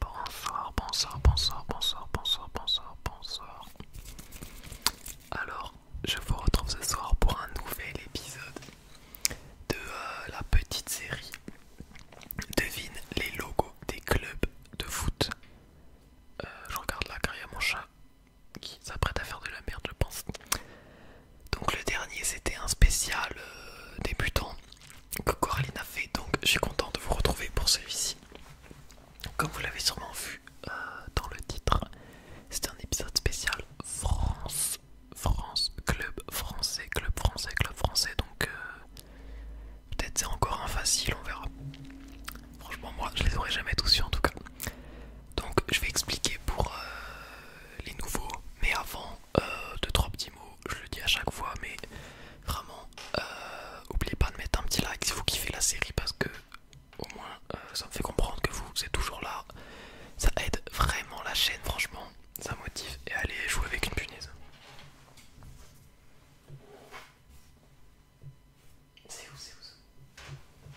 Bonsoir, bonsoir, bonsoir, bonsoir, bonsoir, bonsoir, bonsoir. Alors, je vous retrouve ce soir pour un nouvel épisode de euh, la petite série Devine les logos des clubs de foot. Euh, je regarde là il y a mon chat qui s'apprête à faire de la merde, je pense. Donc le dernier c'était un spécial euh, débutant que Coraline a fait. Donc je suis content de vous retrouver pour celui-ci. Comme vous l'avez sûrement vu euh, dans le titre, c'est un épisode spécial France, France, club français, club français, club français. Donc euh, peut-être c'est encore un facile, on verra. Franchement moi je les aurais jamais tous su en tout cas. Donc je vais expliquer pour les nouveaux, mais avant de 3 petits mot, je le dis à chaque fois, mais vraiment, euh, oubliez pas de mettre un petit like si vous kiffez la série parce que au moins euh, ça me fait comprendre que vous êtes toujours là. Ça aide vraiment la chaîne, franchement, ça motive et allez jouer avec une punaise. C'est où, c'est où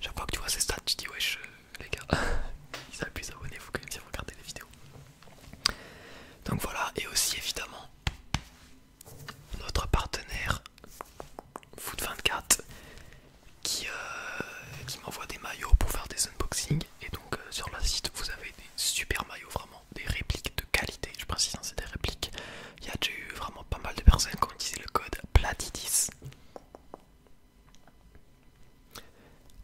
chaque fois que tu vois ces stats, tu dis wesh euh, les gars, ils appuient s'abonner, vous quand même si regardez les vidéos. Donc voilà, et aussi évidemment notre partenaire Foot24 euh, qui, m'envoie des maillots pour faire des unboxings et donc euh, sur la site vous avez des super maillots vraiment des répliques de qualité je précise hein, c'est des répliques il y a déjà eu vraiment pas mal de personnes qui ont utilisé le code PLATIDIS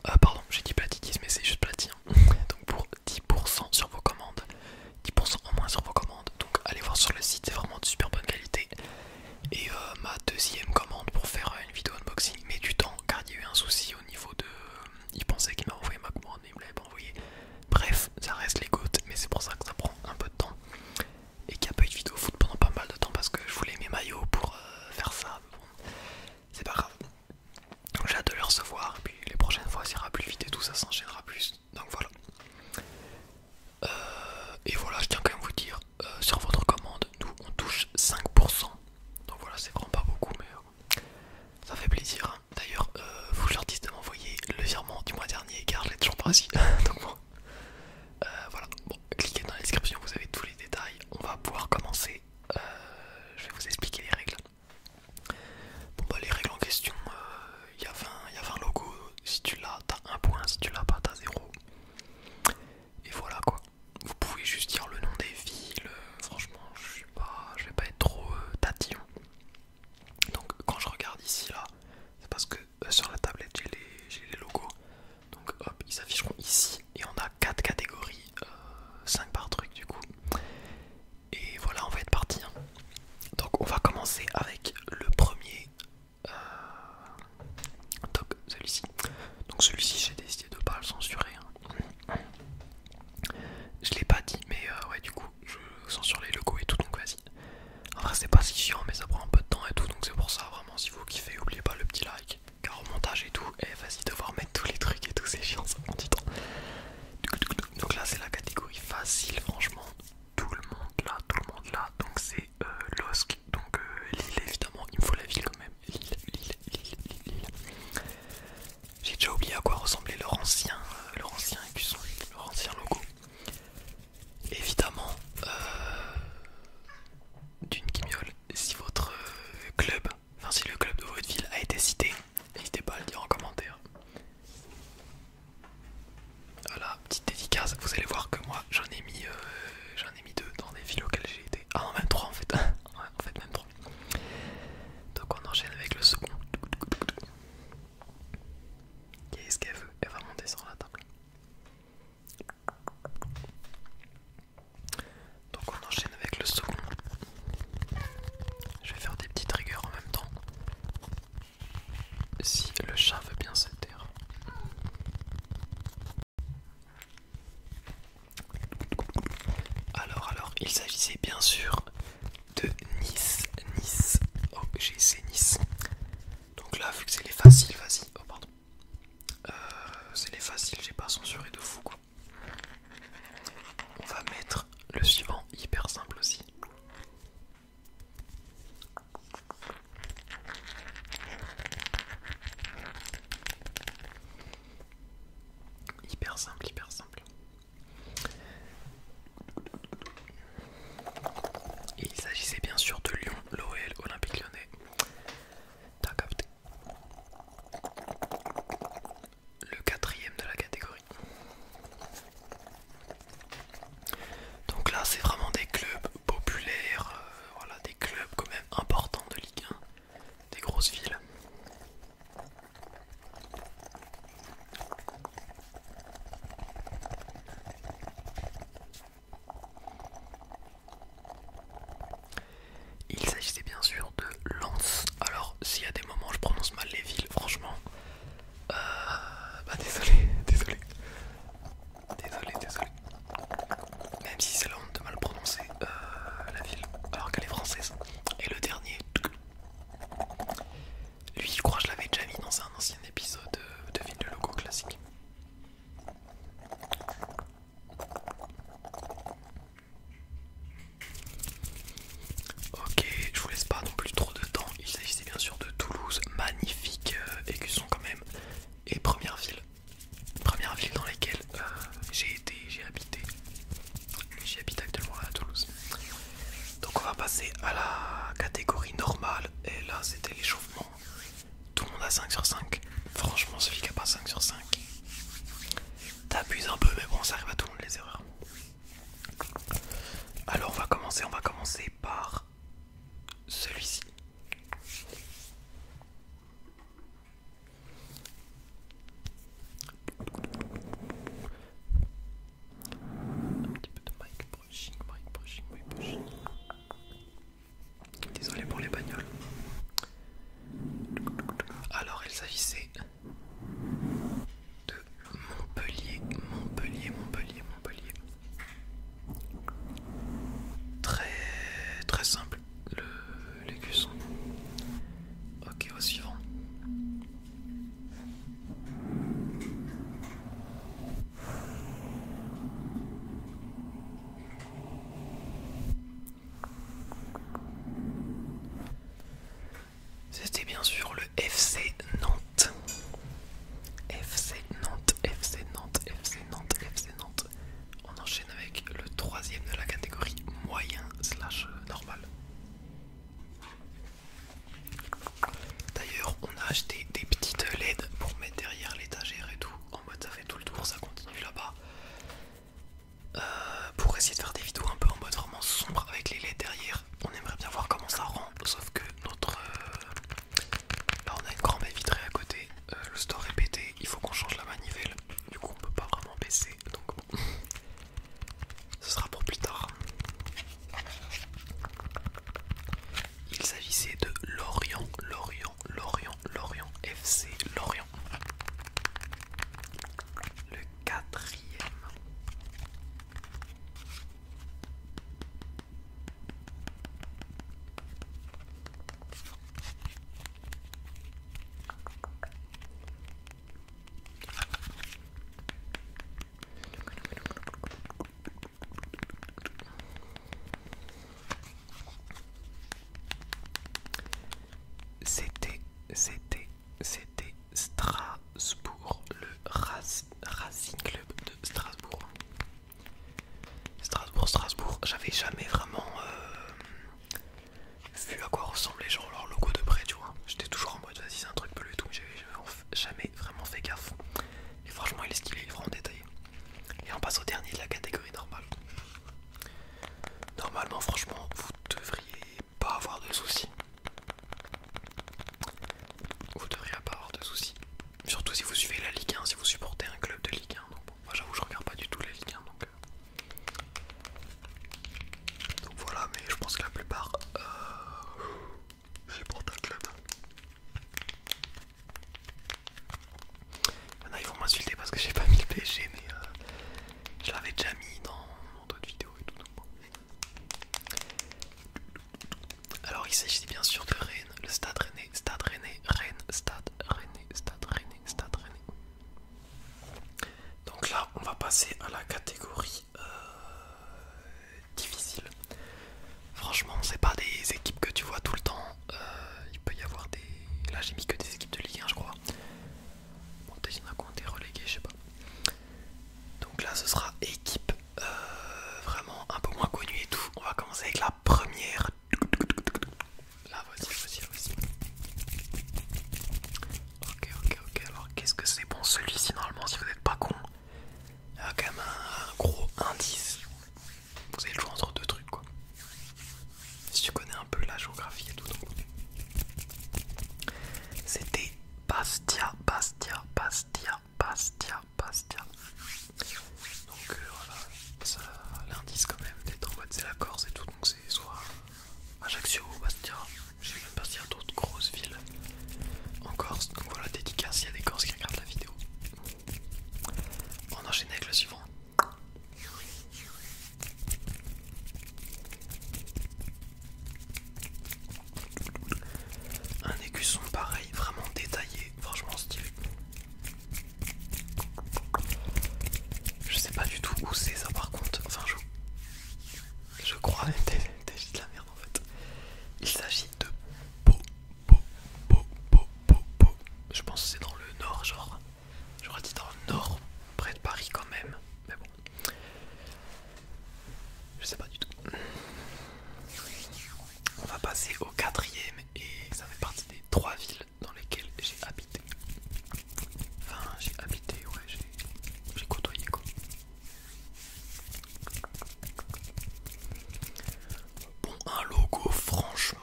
ah, pardon, j'ai dit platitisme mais c'est juste platine. Donc pour 10% sur vos commandes, 10% en moins sur vos commandes. Donc allez voir sur le site, c'est vraiment de super bonne qualité. Et euh, ma deuxième commande pour faire une vidéo unboxing mais du temps car il y a eu un souci au niveau de. Euh, il pensait qu'il m'a envoyé ma commande, mais il pas envoyé. Bref, ça reste les gouttes, mais c'est pour ça que ça prend un peu de temps et qui a pas eu de vidéo foot pendant pas mal de temps parce que je voulais mes maillots pour euh, faire ça. c'est pas grave. j'ai hâte de le recevoir. Et puis les prochaines fois, ça ira plus vite et tout, ça s'enchaînera plus. Donc voilà. Euh, et voilà, je tiens quand même à vous dire euh, sur votre commande, nous on touche 5%. Donc voilà, c'est vraiment pas beaucoup, mais ça fait plaisir. Hein. D'ailleurs, vous leur dites de m'envoyer le virement du mois dernier car je l'ai toujours pas ici. Donc euh, voilà, cliquez dans la description, vous avez tous les détails. On va pouvoir commencer. Euh, je vais vous expliquer les règles. Bon, bah, les règles en question, il euh, y, a 20 logos. Si tu l'as, t'as un point. Si tu l'as pas, t'as zéro Et voilà quoi. Vous pouvez juste dire le nom des villes. Franchement, je suis vais pas être trop tatillon. Donc, quand je regarde ici, là, c'est parce que euh, sur la tablette j'ai les, logos. Donc hop, ils s'afficheront ici et on a 4 catégories, 5 euh, par truc du coup. Et voilà, on va être parti. Hein. Donc on va commencer avec le premier. donc euh, celui-ci. Donc celui-ci j'ai décidé de pas le censurer. Hein. Je l'ai pas dit mais ouais du coup je censure les logos et tout donc vas-y. En vrai c'est pas si chiant mais ça prend un peu de temps et tout donc c'est pour ça vraiment si vous kiffez oubliez pas le petit like car au montage et tout et vas-y devoir mettre tous les trucs et tout c'est chiant ça prend du temps donc là c'est la catégorie facile franchement tout le monde là tout le monde là donc c'est euh, donc euh, l'île évidemment il me faut la ville quand même l'île l'île l'île l'île j'ai déjà oublié à quoi ressemblait leur ancien euh, leur ancien écusson leur ancien logo évidemment euh, d'une guignole si votre euh, club, enfin si le club de votre ville a été cité, n'hésitez pas à le dire en commentaire. Voilà, petite dédicace, vous allez voir que moi j'en ai mis euh, j'en ai mis deux dans des villes auxquelles j'ai été. Ah non 23 en fait. en fait même trois. Donc on enchaîne avec le second. Qu'est-ce qu'elle veut Elle va monter sur la table. Donc on enchaîne avec le second. Je vais faire des petites rigueurs en même temps. Si le chat veut bien se taire. Alors, alors, il s'agissait bien sûr de Nice, Nice, oh j'ai Nice, donc là, vu que c'est les faciles, vas-y. Oh, pardon. Euh, c'est les faciles, j'ai pas censuré de fou quoi. On va mettre le suivant, hyper simple aussi. Hyper simple, hyper simple il s'agissait bien sûr de Lyon, l'OL Olympique Lyonnais. Le quatrième de la catégorie. Donc là, c'est vraiment des clubs populaires, euh, voilà, des clubs quand même importants de Ligue 1, des grosses villes. Il s'agissait bien sûr de Lens. Alors, s'il y a des moments je prononce mal les villes, franchement, euh, bah désolé, désolé, désolé, désolé. Même si c'est la honte de mal prononcer euh, la ville, alors qu'elle est française. Et le dernier, lui, je crois que je l'avais déjà mis dans un ancien épisode euh, de Ville de Logo classique. Ok, je vous laisse pas non plus trop de temps. Il s'agissait bien sûr de Toulouse, magnifique euh, écusson quand même, et première ville, première ville dans laquelle euh, j'ai été, j'ai habité, J'habite actuellement à Toulouse. Donc on va passer à la catégorie normale, et là c'était l'échauffement tout le monde a 5 sur 5. Franchement, celui qui a pas 5 sur 5. T'abuses un peu, mais bon, ça arrive à tout le monde les erreurs. Alors, on va commencer. On va commencer par celui-ci. Un petit peu de mic. Désolé pour les bagnoles. Alors, il s'agissait de Montpellier, Montpellier, Montpellier, Montpellier. Très très simple le l'écusson. Ok, au suivant. C'était bien sûr le FC Nantes. FC Nantes, FC Nantes, FC Nantes, FC Nantes. On enchaîne avec le troisième de la catégorie moyen slash normal. D'ailleurs, on a acheté des petites LED pour mettre derrière l'étagère et tout. En mode, ça fait tout le tour, ça continue là-bas. Euh, pour essayer de faire des vidéos un peu en mode vraiment sombre avec les LED derrière. On aimerait bien voir comment ça rend, sauf que notre. Euh, là, on a une grande baie vitrée à côté. Euh, le store est pété, il faut qu'on change la manivelle. Du coup, on peut pas vraiment baisser. Donc, Ce sera pour plus tard. Il s'agissait de Lorient, Lorient, Lorient, Lorient, FC Lorient. Le quatrième. C'était, c'était, c'était Strasbourg, le Racing Club de Strasbourg. Strasbourg, Strasbourg, j'avais jamais vraiment euh, vu à quoi ressemblait les leur logo de près, tu vois. J'étais toujours en mode, vas-y, c'est un truc bleu et tout, mais j'avais jamais vraiment fait gaffe. Et franchement, il est stylé, il est vraiment détaillé. Et on passe au dernier de la catégorie normale. Normalement, franchement, vous devriez pas avoir de soucis. Vous devriez pas avoir de soucis. Surtout si vous suivez la Ligue 1, si vous supportez un club de Ligue 1. bon, moi j'avoue, je regarde pas du tout la Ligue 1. Donc, euh. donc voilà, mais je pense que la plupart. Euh, c'est pour un club. Maintenant ils vont m'insulter parce que j'ai pas mis le pg mais euh, je l'avais déjà mis dans, d'autres vidéos et tout. Alors il s'agit bien sûr de Rennes, le stade Rennes, stade Rennes, Rennes, stade René, stade Rennes, stade Rennes. Donc là on va passer à la catégorie euh, difficile. Franchement, c'est pas des équipes que tu vois tout le temps. Euh, il peut y avoir des. Là, j'ai mis que des équipes de Ligue 1, je crois. je sais pas. Donc là, ce sera équipe euh, vraiment un peu moins connue et tout. On va commencer avec la première. Là, voici, voici, voici. Ok, ok, ok. Alors, qu'est-ce que c'est bon celui-ci Normalement, si vous n'êtes pas con, il y a quand même un gros indice. Vous allez le choix entre deux trucs quoi. Si tu connais un peu la géographie et tout. C'était Bastia, Bastia, Bastia, Bastia, Bastia. Donc euh, voilà, ça l'indice quand même d'être en c'est la Corse et tout. Donc c'est soit Ajaccio ou Bastia. Je sais même pas s'il y a d'autres grosses villes en Corse. Donc voilà, dédicace il y a des Corses qui regardent la vidéo. On enchaîne avec le suivant. Un écusson pareil, vraiment détaillé, franchement stylé. Je sais pas du tout où c'est ça par contre, enfin je, je crois même t'es de la merde en fait. Il s'agit de Beau je pense que c'est dans le nord, genre. J'aurais dit dans le nord, près de Paris quand même. Mais bon. Je sais pas du tout. On va passer au quatrième et ça fait partie des trois villes dans lesquelles j'ai habité. Enfin, j'ai habité, ouais, j'ai côtoyé quoi. Bon, un logo, franchement,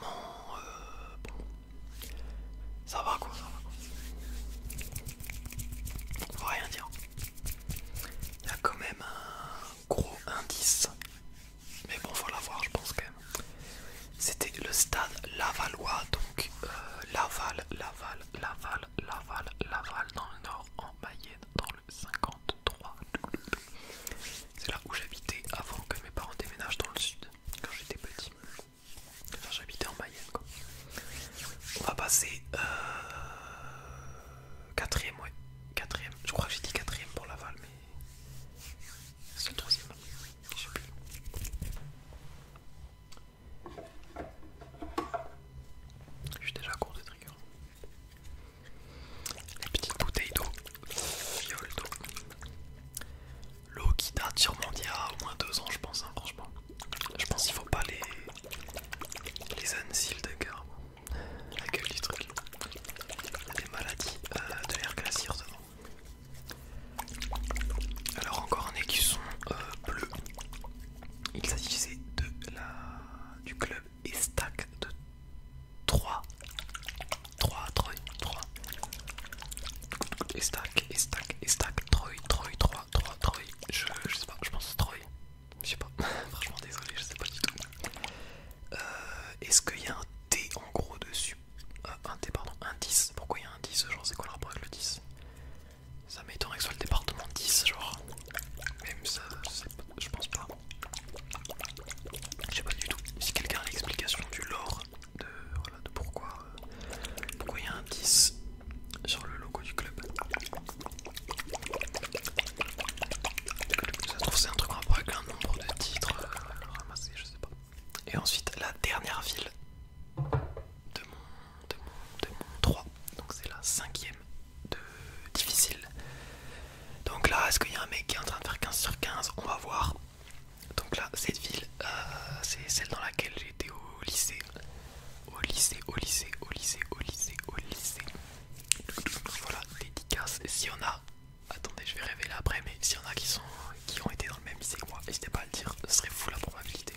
ça va quoi, ça va On va rien dire. Il y a quand même un gros indice, mais bon, faut l'avoir, je pense quand même. C'était le stade Lavallois, donc Laval, Laval, Laval, Laval, Laval dans le nord, en Mayenne dans le 50. C'est là où j'habitais avant que mes parents déménagent dans le sud, quand j'étais petit. j'habitais en Mayenne quoi. On va passer euh... quatrième, ouais. Je crois que j'ai dit quatrième pour Laval, mais c'est le troisième. Je Je suis déjà à court de trigger. Les petites bouteilles d'eau, fioles d'eau. L'eau qui date sûrement d'il y a au moins deux ans, je pense, hein, franchement. Je pense qu'il faut pas les. les de cœur, La gueule du truc. Des maladies euh, de l'air glacier. Alors, encore un écusson euh, bleu. Il s'agissait de la. du club et stack de 3. 3, Troy, 3. Et stack, et stack, et stack, 3, 3, Je, je sais pas, je pense Troyes, Je sais pas, franchement désolé, je sais pas du tout. Euh, est-ce qu'il y a un T en gros dessus euh, Un T, pardon, un 10. Pourquoi il y a un 10 Genre, c'est quoi le rapport avec le 10 Ça m'étonnerait que ce le département 10, genre. Même ça, je, sais pas, je pense pas. Je sais pas du tout. Si quelqu'un a l'explication du lore de, euh, pourquoi il y a un 10 sur le logo du club. Ça se trouve c'est un truc en rapport avec un nombre de titres euh, ramassés, je sais pas. Et ensuite la dernière ville de mon, de mon, de mon 3, donc c'est la cinquième difficile. Donc là, est-ce qu'il y a un mec qui est en train de faire 15 sur 15 On va voir. Donc là, cette ville, euh, c'est celle dans laquelle j'étais au lycée. Au lycée, au lycée, au lycée, au lycée, au lycée. Voilà, les dédicace. Si on a, attendez, je vais révéler après, mais si y en a qui sont, qui ont été dans le même lycée que moi, n'hésitez pas à le dire. Ce serait fou la probabilité.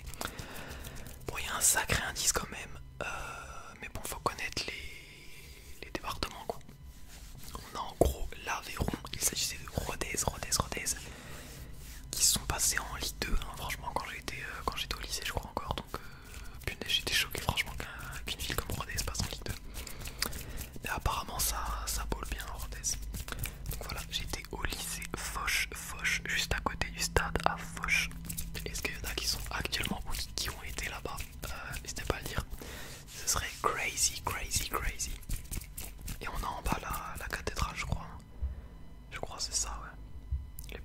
Bon, il y a un sacré indice quand même, euh, mais bon, faut connaître les les départements quoi. On a en gros l'Aveyron, il s'agissait de Rodez, Rodez, Rodez, qui sont passés en Ligue 2, hein, franchement euh, quand j'étais au lycée je crois encore, donc euh, j'étais choqué franchement qu'une ville comme Rodez passe en Ligue 2. Mais apparemment ça, ça boule bien Rodez. Donc voilà, j'étais au lycée Foch, Foch, juste à côté du stade à Foch. Est-ce qu'il y en a qui sont actuellement ou qui ont été là-bas euh, n'hésitez pas à le dire. Ce serait crazy, crazy, crazy. Et on a en bas la, la cathédrale, je crois. Je crois c'est ça, ouais.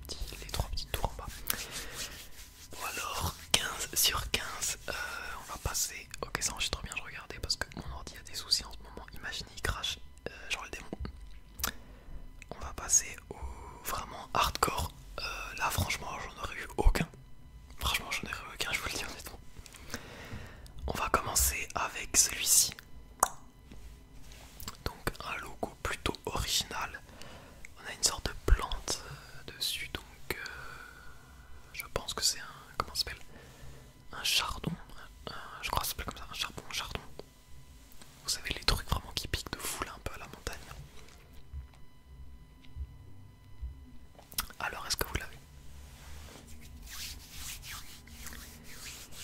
Les, trois petites tours en bas. ou alors, 15 sur 15, euh, on va passer... Ok, ça trop bien, je regardais parce que mon ordi a des soucis en ce moment. Imaginez, il crache, euh, genre le démon. On va passer au vraiment hardcore. Euh, là franchement j'en aurais eu aucun. Franchement j'en aurais eu aucun, je vous le dis honnêtement. On va commencer avec celui-ci. Donc un logo plutôt original. On a une sorte de plante euh, dessus donc euh, je pense que c'est un comment s'appelle un chardon. je crois que ça s'appelle comme ça un charbon chardon. Vous savez, les trucs vraiment qui piquent de fou un peu à la montagne. Alors, est-ce que vous l'avez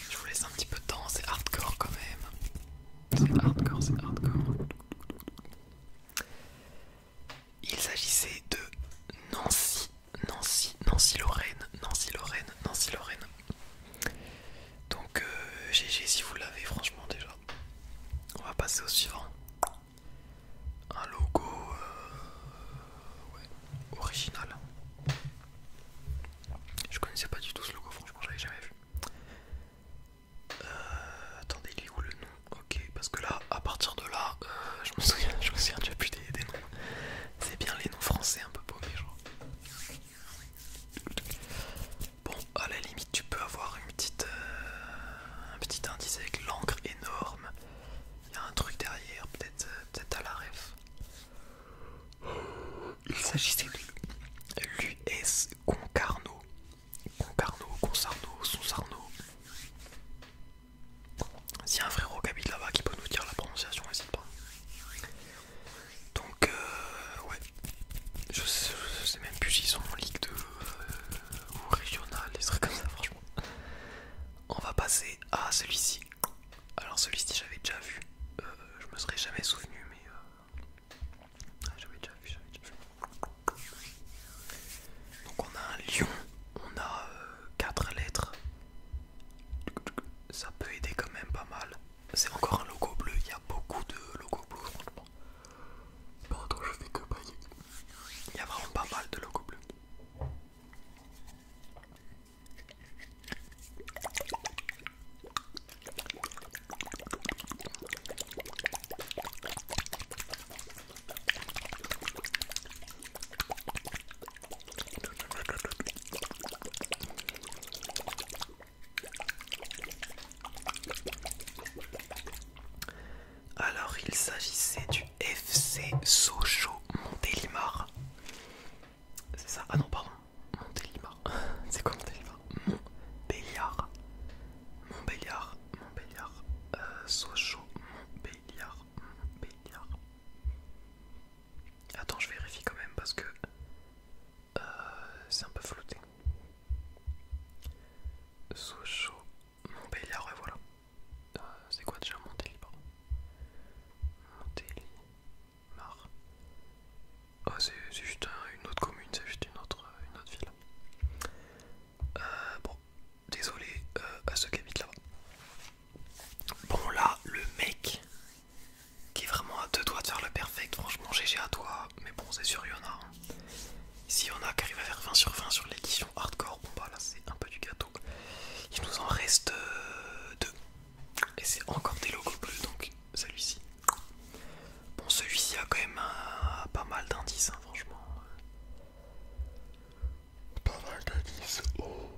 Je vous laisse un petit peu de temps, c'est hardcore quand même. C'est hardcore, c'est hardcore. Il s'agissait de Nancy, Nancy, Nancy Lorraine, Nancy Lorraine, Nancy Lorraine. Donc GG euh, si vous l'avez franchement déjà on va passer au suivant. Un logo euh, original. Je connaissais pas du tout ce logo, franchement, je l'avais jamais vu. Euh, attendez, il est où le nom Ok, parce que là, à partir de là, euh, je me souviens, je me déjà plus des, noms. C'est bien les noms français un peu je genre. Bon, à la limite, tu peux avoir une petite, euh, un petit indice avec l'encre énorme. Il y a un truc derrière, peut-être euh, peut à la ref. Il s'agissait de l'US Concarneau. Concarneau, Concarno, Sonsarneau. S'il y a un frérot qui habite là-bas qui peut nous dire la prononciation, n'hésite pas. Donc, euh, ouais, je sais, même plus ils sont en Ligue 2 euh, ou régionale, des trucs comme ça, franchement. On va passer à celui-ci. Alors, celui-ci, j'avais déjà vu. Euh, je me serais jamais souvenu, mais. Euh, ah, j'avais déjà vu, déjà vu. Donc, on a un lion, on a 4 lettres. Ça peut aider quand même pas mal. C'est encore un logo bleu, il y a beaucoup de logos bleus, franchement que bah, je fais que bailler. Il y a vraiment pas mal de locaux bleus. Alors il s'agissait du FC Sochaux Montélimar. C'est ça Ah non pardon. Montélimar. C'est quoi Montélimar Montbéliard. Montbéliard. Montbéliard. Euh, Sochaux Montbéliard. Montbéliard. Attends je vérifie quand même parce que euh, c'est un peu flouté. Sochaux, Montbéliard, et voilà. Euh, c'est quoi déjà Montélimar Montélimar. Oh, c'est juste une autre commune, c'est juste une autre, euh, ville. Euh, bon, désolé à ceux qui habitent là-bas. Bon, là, le mec qui est vraiment à deux doigts de faire le perfect, franchement, GG à toi. Mais bon, c'est sur il si on arrive à faire 20 sur 20 sur l'édition hardcore, bon bah là c'est un peu du gâteau. Il nous en reste euh, deux. Et c'est encore des logos bleus donc celui-ci. Bon celui-ci a quand même pas mal d'indices hein, franchement. Pas mal d'indices. Oh.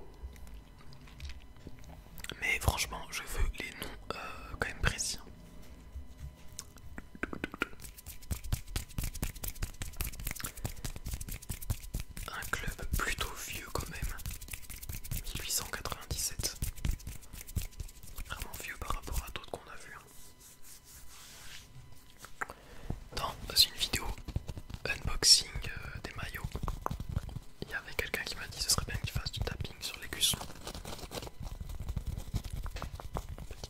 Mais franchement je veux les noms euh, quand même précis. Hein. Un club plutôt vieux quand même. 1897. Vraiment vieux par rapport à d'autres qu'on a vus. Hein. Dans une vidéo unboxing euh, des maillots, il y avait quelqu'un qui m'a dit que ce serait bien que tu du tapis sur les Petit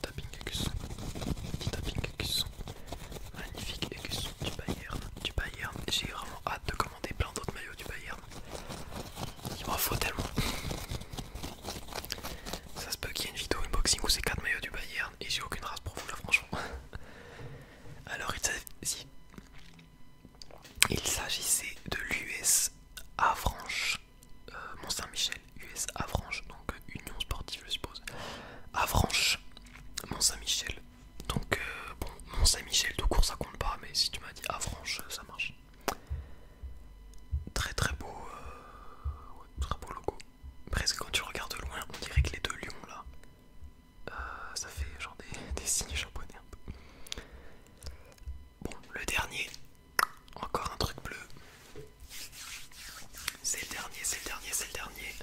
tapping écusson. Petit tapping Magnifique écusson du Bayern. Du Bayern. J'ai vraiment hâte de commander plein d'autres maillots du Bayern. Il m'en faut tellement. Ça se peut qu'il y ait une vidéo unboxing où c'est 4 maillots du Bayern et j'ai aucune race pour vous là franchement. Alors il s'agissait de l'US à euh, Mont-Saint-Michel, US AVRANCHE, donc euh, Union Sportive, je suppose. AVRANCHE, Mont-Saint-Michel. Donc, euh, bon, Mont-Saint-Michel, de court ça compte pas, mais si tu m'as dit AVRANCHE, ça marche. Très très beau, très beau logo. Presque quand tu regardes loin, on dirait que les deux lions là, ça fait genre des, des signes japonais Bon, le dernier, encore un truc bleu. C'est le dernier, c'est le dernier, c'est le dernier.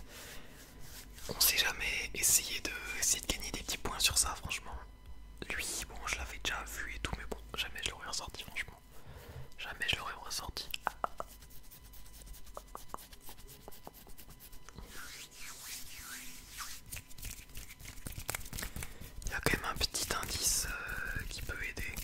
On sait jamais essayé de, essayer de gagner des petits points sur ça, franchement. Lui, bon, je l'avais déjà vu et tout, mais bon, jamais je l'aurais ressorti, franchement. Jamais je l'aurais ressorti il y a quand même un petit indice euh, qui peut aider.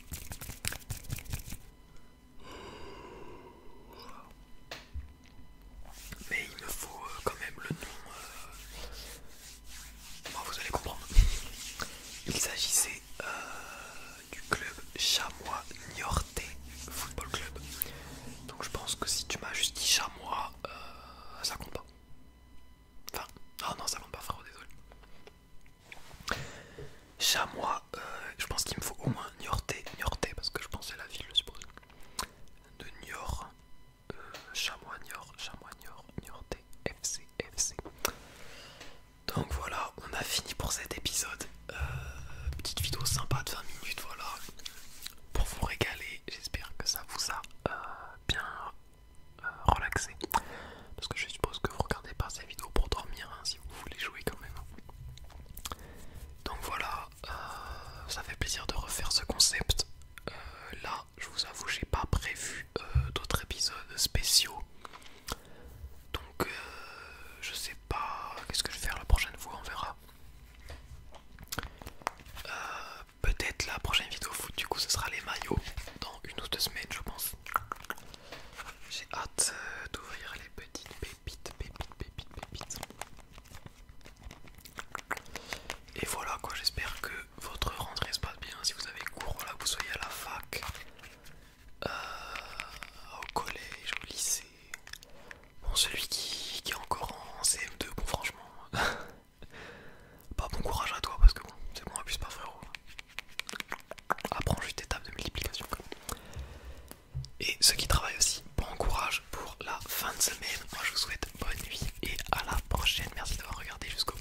Mais il me faut euh, quand même le nom. Euh. Bon, vous allez comprendre. Il s'agissait du club Chamois Niortais Football Club. Donc je pense que si tu m'as juste dit Chamois, ça compte pas. Enfin, ah non, ça va pas frérot, désolé. Chamois, euh, je pense qu'il me faut au moins Niorté, Niorté, parce que je pense c'est la ville, je suppose. De Niort, euh, Chamois, Niort, Chamois, Niort, Niorté, FC, FC. Donc voilà, on a fini pour cet épisode. Euh, petite vidéo sympa de 20 minutes, voilà. Pour vous régaler, j'espère que ça vous a bien euh, relaxé relaxer. Parce que je suppose que vous regardez pas ces vidéos pour dormir hein, si vous voulez jouer quand même. Donc voilà, euh, ça fait plaisir de refaire ce concept. Euh, là, je vous avoue, j'ai pas prévu d'autres épisodes spéciaux. Donc, je sais pas qu'est-ce que je vais faire la prochaine fois, on verra peut-être la prochaine vidéo foot du coup ce sera les maillots dans une ou deux semaines je pense j'ai hâte euh, d'ouvrir les petites pépites pépites pépites pépites et voilà quoi j'espère que votre rentrée se passe bien si vous avez cours là, vous soyez à la fac euh, au collège au lycée bon celui qui, qui est encore en CM2 bon franchement Pas bah, bon courage à toi parce que c'est bon, plus pas frérot. Apprends juste étape de multiplication. Et ceux qui travaillent aussi, bon courage pour la fin de semaine. Moi je vous souhaite bonne nuit et à la prochaine. Merci d'avoir regardé jusqu'au bout.